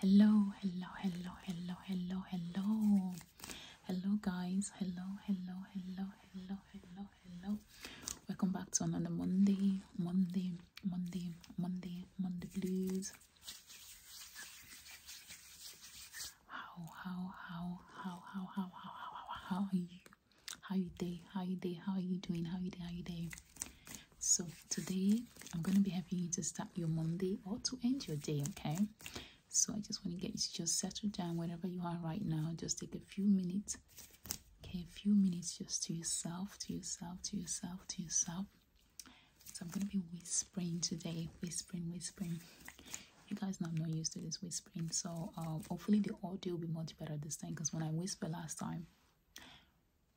Hello, hello, hello, hello, hello, hello. Hello, guys. Hello, hello, hello, hello, hello, hello. Welcome back to another Monday, Monday, Monday, Monday, Monday Blues. How, how, how, how, how, how, how, how, how, how are you? How you day? How you day? How are you doing? How you day? How you day? So today I'm gonna be having you to start your Monday or to end your day, okay? So I just want to get you to just settle down wherever you are right now. Just take a few minutes, okay? A few minutes just to yourself, to yourself, to yourself, to yourself. So I'm gonna be whispering today, whispering, whispering. You guys know I'm not used to this whispering, so um, hopefully the audio will be much better this time because when I whisper last time,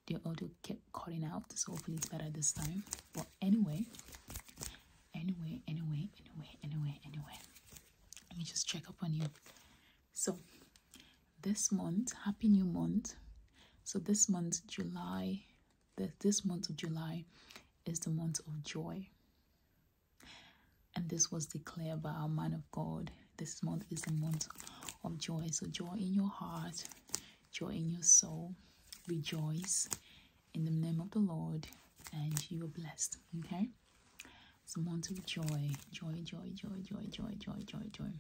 the audio kept cutting out so hopefully it's better this time but anyway anyway anyway anyway anyway anyway let me just check up on you so this month happy new month so this month july the, this month of july is the month of joy and this was declared by our man of god this month is a month of joy. So, joy in your heart, joy in your soul. Rejoice in the name of the Lord, and you are blessed. Okay? It's month of Joy, joy, joy, joy, joy, joy, joy, joy.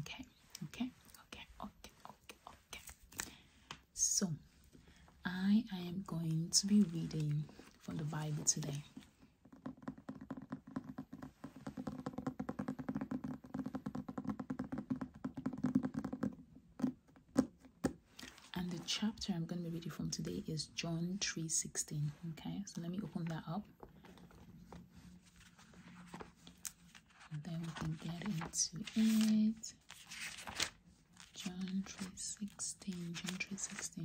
Okay, okay, okay, okay, okay, okay. So, I am going to be reading from the Bible today and the chapter i'm going to be reading from today is john 3.16 okay so let me open that up and then we can get into it john 3.16 john 3.16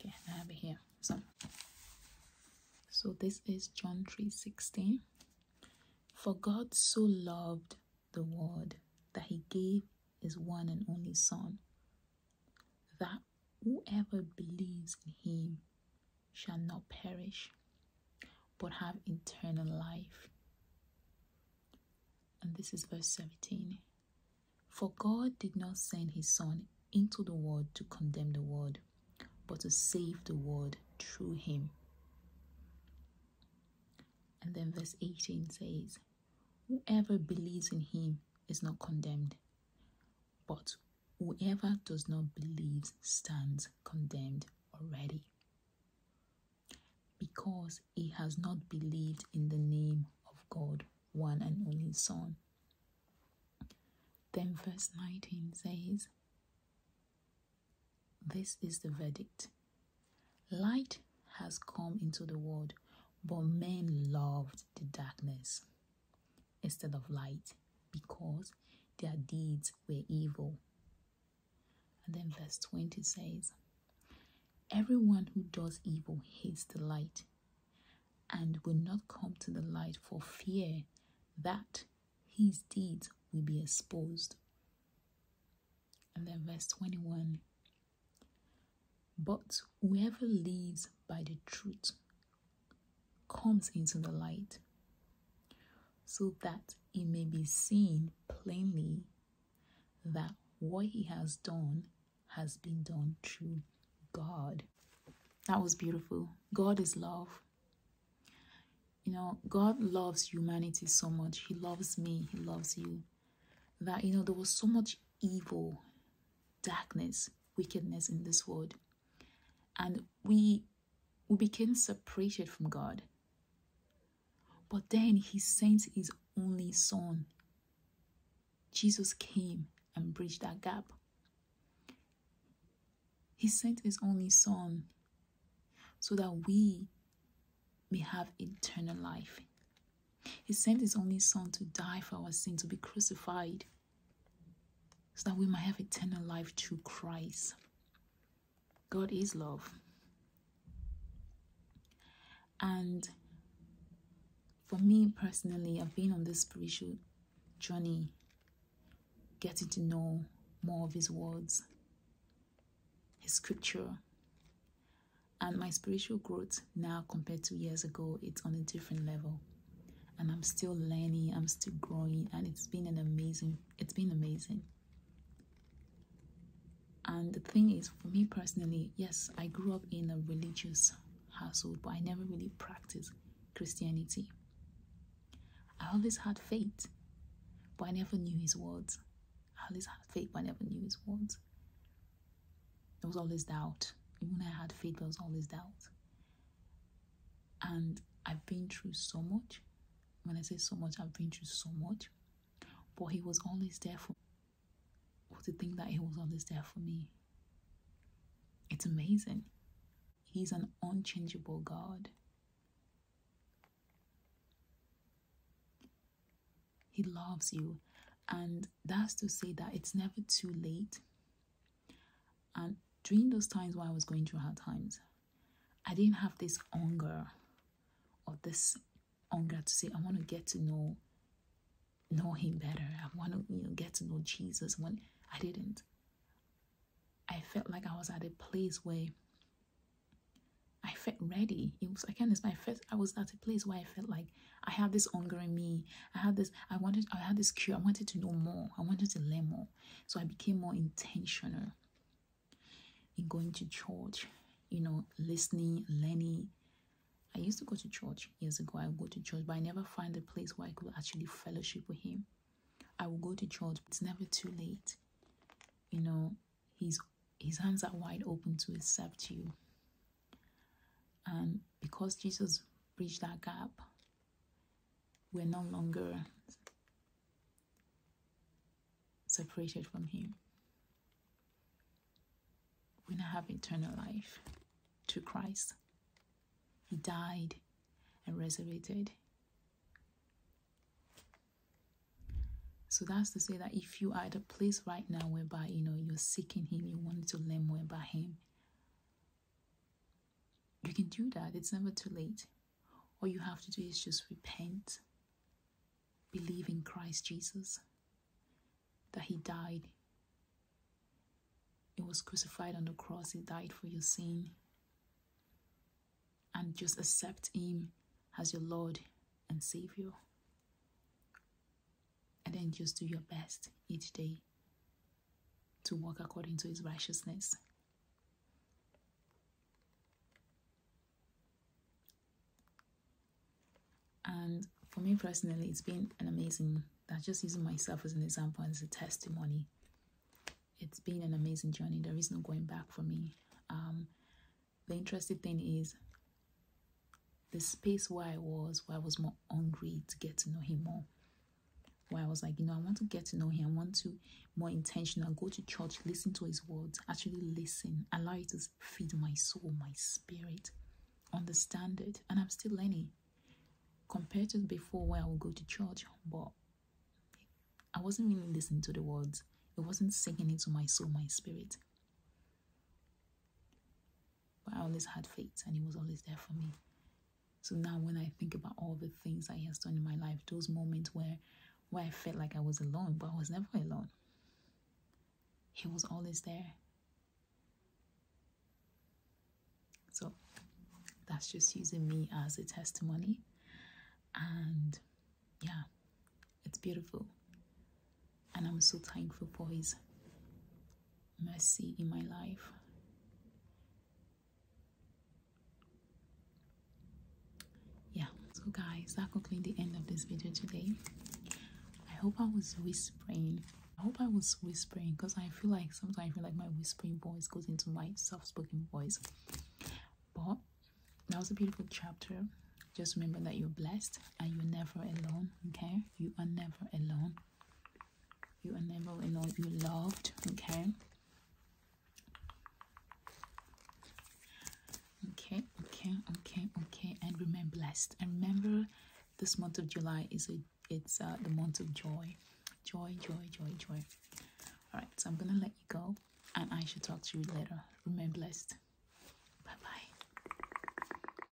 okay I have it here so so this is John 3:16 for God so loved the world that he gave his one and only son that whoever believes in him shall not perish but have eternal life and this is verse 17 for God did not send his Son into the world to condemn the world, but to save the world through him. And then verse 18 says, Whoever believes in him is not condemned, but whoever does not believe stands condemned already. Because he has not believed in the name of God, one and only Son. Then verse 19 says, This is the verdict Light has come into the world, but men loved the darkness instead of light because their deeds were evil. And then verse 20 says, Everyone who does evil hates the light and will not come to the light for fear that his deeds will be exposed. And then verse 21 But whoever lives by the truth comes into the light so that he may be seen plainly that what he has done has been done through God. That was beautiful. God is love. You know, God loves humanity so much. He loves me. He loves you. That, you know, there was so much evil, darkness, wickedness in this world. And we we became separated from God. But then he sent his only son. Jesus came and bridged that gap. He sent his only son so that we may have eternal life. He sent his only son to die for our sin, to be crucified, so that we might have eternal life through Christ. God is love. And for me personally, I've been on this spiritual journey, getting to know more of His words, His scripture. And my spiritual growth now compared to years ago, it's on a different level. And I'm still learning, I'm still growing, and it's been an amazing, it's been amazing. And the thing is, for me personally, yes, I grew up in a religious household, but I never really practiced Christianity. I always had faith, but I never knew his words. I always had faith, but I never knew his words. There was always doubt. Even when I had faith, there was always doubt. And I've been through so much. When I say so much, I've been through so much. But he was always there for me. To think that he was always there for me. It's amazing. He's an unchangeable God. He loves you. And that's to say that it's never too late. And during those times when I was going through hard times, I didn't have this hunger or this hunger to say, I want to get to know know him better. I want to you know, get to know Jesus. When I didn't, I felt like I was at a place where I felt ready. It was I can't explain. I felt I was at a place where I felt like I had this hunger in me. I had this. I wanted. I had this cure. I wanted to know more. I wanted to learn more. So I became more intentional in going to church, you know, listening, learning. I used to go to church years ago. I would go to church, but I never find a place where I could actually fellowship with him. I will go to church. but It's never too late. You know, his his hands are wide open to accept you. And because Jesus bridged that gap, we're no longer separated from Him. We now have eternal life through Christ. He died and resurrected. So that's to say that if you are at a place right now whereby you know you're seeking Him, you want to learn more about Him, you can do that. It's never too late. All you have to do is just repent, believe in Christ Jesus, that He died. He was crucified on the cross, He died for your sin. And just accept Him as your Lord and Savior. And then just do your best each day to walk according to his righteousness. And for me personally, it's been an amazing, that's just using myself as an example, as a testimony. It's been an amazing journey. There is no going back for me. Um, the interesting thing is the space where I was, where I was more hungry to get to know him more where I was like, you know, I want to get to know him. I want to more intentional, go to church, listen to his words, actually listen, allow it to feed my soul, my spirit, understand it. And I'm still learning compared to before where I would go to church, but I wasn't really listening to the words. It wasn't sinking into my soul, my spirit. But I always had faith and He was always there for me. So now when I think about all the things that He has done in my life, those moments where where I felt like I was alone, but I was never alone. He was always there. So that's just using me as a testimony. And yeah, it's beautiful. And I'm so thankful for his Mercy in my life. Yeah, so guys, that concludes the end of this video today. I hope I was whispering. I hope I was whispering because I feel like sometimes I feel like my whispering voice goes into my soft-spoken voice. But that was a beautiful chapter. Just remember that you're blessed and you're never alone. Okay, you are never alone you enable and all you loved okay okay okay okay okay and remain blessed and remember this month of july is a it's uh, the month of joy joy joy joy joy all right so i'm gonna let you go and i should talk to you later remain blessed bye bye